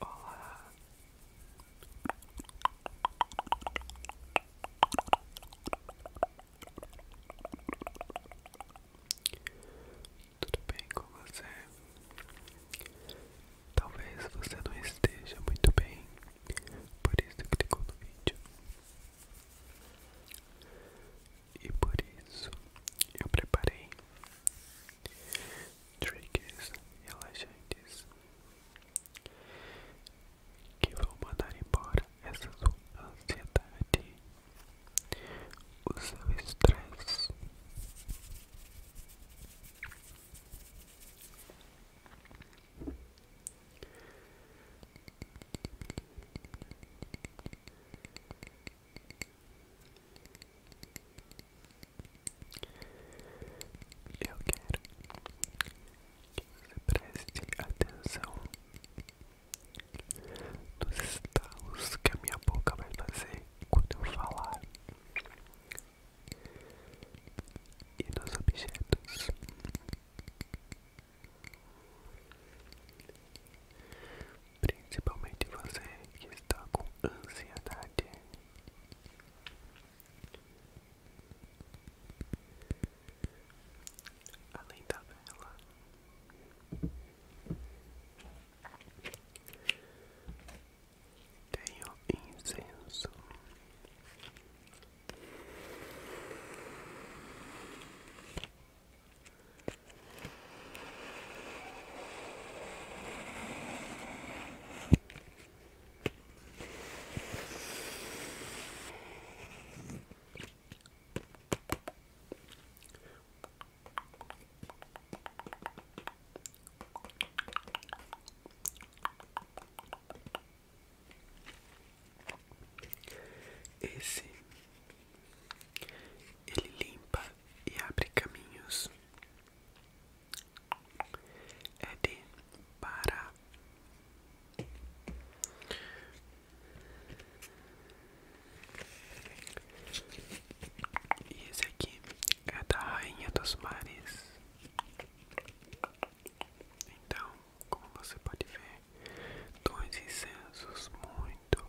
Olá. Tudo bem com você? Talvez você não esteja muito bem, por isso clicou no vídeo. E por isso eu preparei triggers relaxantes que vão mandar embora essa sua ansiedade, o seu estresse. Eu quero que você preste atenção nos estalos que a minha boca vai fazer quando eu falar e nos objetos principalmente você que está com ansiedade. Além da vela, tenho incenso. Esse ele limpa e abre caminhos é de Pará. E esse aqui é da Rainha dos Mares. Então, como você pode ver, dois incensos muito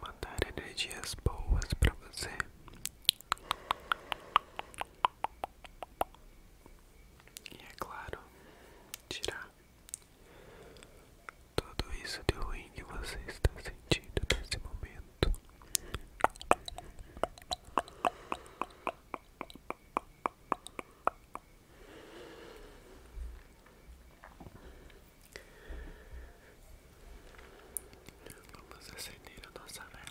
Mandar energias boas para você. E é claro, tirar tudo isso de ruim que você está sentindo nesse momento. Vamos acender a nossa vela.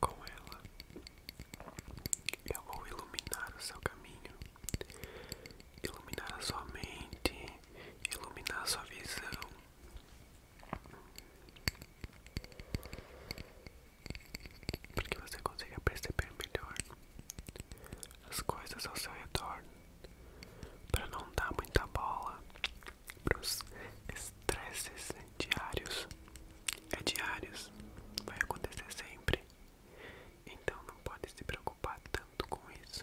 Com ela, eu vou iluminar o seu caminho iluminar a sua mente, iluminar a sua visão. porque você consegue perceber melhor as coisas ao seu retorno. Para não dar muita bola para os estresses diários. É diários, vai acontecer sempre. Então não pode se preocupar tanto com isso.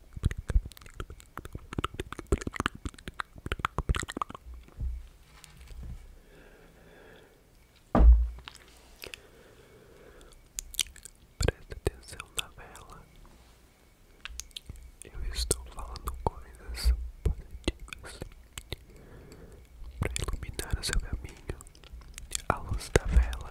Presta atenção na vela. Eu estou falando coisas positivas para iluminar o seu caminho. A luz da vela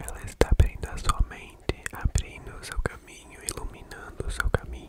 Ela está abrindo a sua mente, abrindo o seu caminho, iluminando o seu caminho.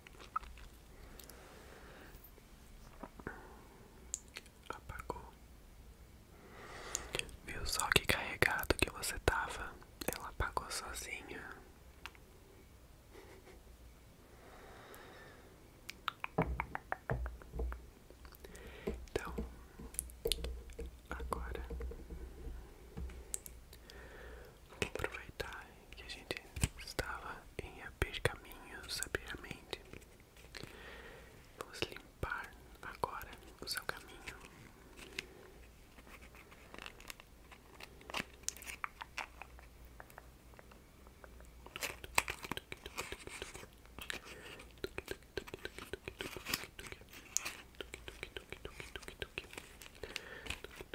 Apagou. Viu só que carregado que você tava? Ela apagou sozinha. Então, agora aproveitar que a gente estava em abrir caminhos sabiamente. Vamos limpar agora o seu caminho.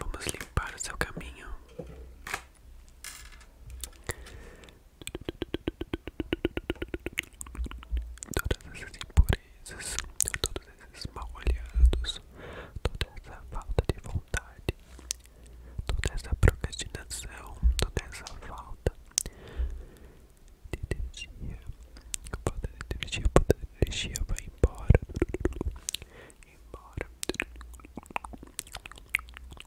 Vamos limpar o seu caminho. Todas essas impurezas, todos esses mal olhados, toda essa falta de vontade, toda essa procrastinação, toda essa falta de energia, falta de energia, falta de energia vai embora, embora.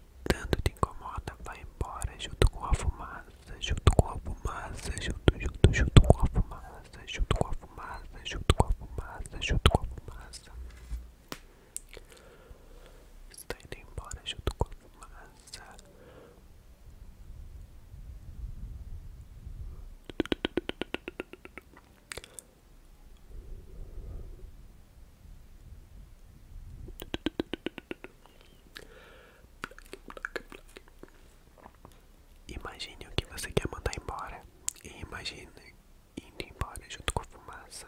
que tanto te incomoda vai embora junto com a fumaça, junto com a fumaça, junto, junto, junto com a fumaça, junto com a fumaça, junto com a fumaça, junto com a fumaça. Está indo embora junto com a fumaça. Imagine o que você quer mandar embora e imagine indo embora junto com a fumaça.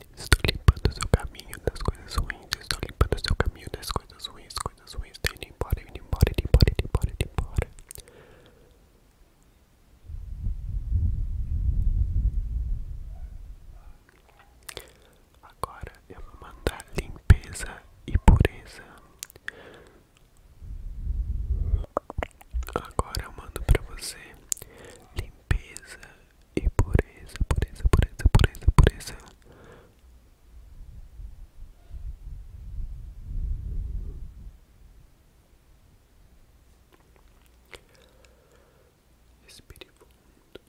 Estou limpando o seu caminho das coisas ruins. Estou limpando o seu caminho das coisas ruins. Coisas ruins. Estou indo embora, indo embora, indo embora, indo embora, indo embora. Agora eu vou mandar limpeza e pureza. Agora eu mando para você limpeza e pureza, pureza, pureza, pureza, pureza. Respire fundo.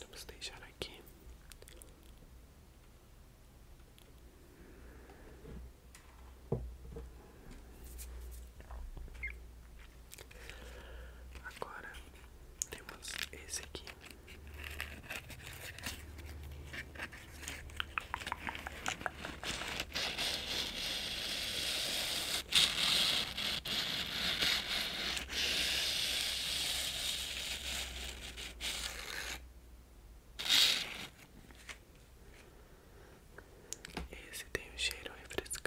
Vamos deixar aqui Agora temos esse aqui. Esse tem um cheiro refrescante.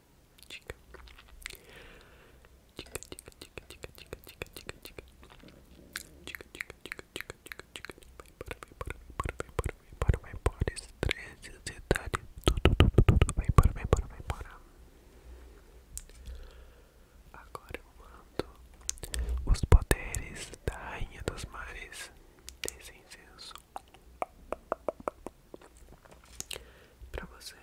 dica, dica, dica, dica, dica, dica, dica, dica, dica, dica, dica, dica, dica, dica, vai embora, vai embora, vai embora, vai embora, vai embora, estresse, ansiedade, tudo, tudo, tudo, vai embora, vai embora, vai embora. Agora eu mando os poderes da Rainha dos Mares desse incenso pra você.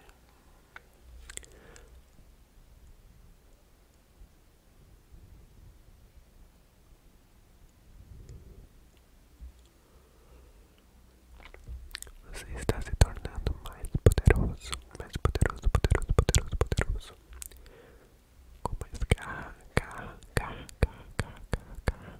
Você está se tornando mais poderoso, mais poderoso, poderoso, poderoso, poderoso. Com mais garra, garra, garra, garra, garra, garra,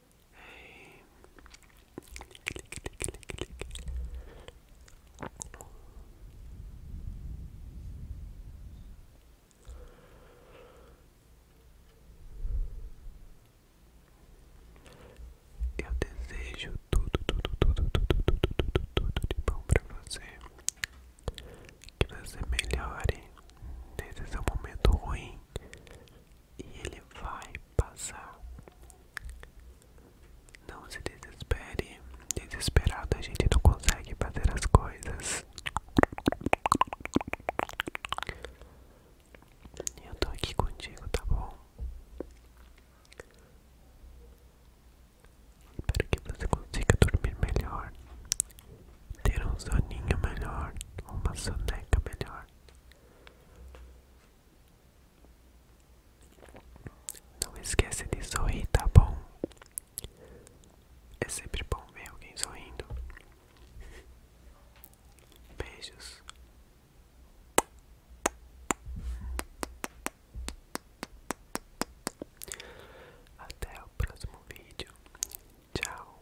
Eu desejo tudo, tudo, tudo, tudo, tudo, tudo, tudo de bom para você. Que você melhore nesse seu momento ruim e ele vai passar. Não se desespere, desesperado a gente não consegue fazer as coisas. e Eu tô aqui contigo, tá bom? Espero que você consiga dormir melhor, ter um soninho melhor, uma soneca melhor. Não esquece de sorrir, tá bom? É sempre bom ver alguém sorrindo. Beijos. Até o próximo vídeo. Tchau.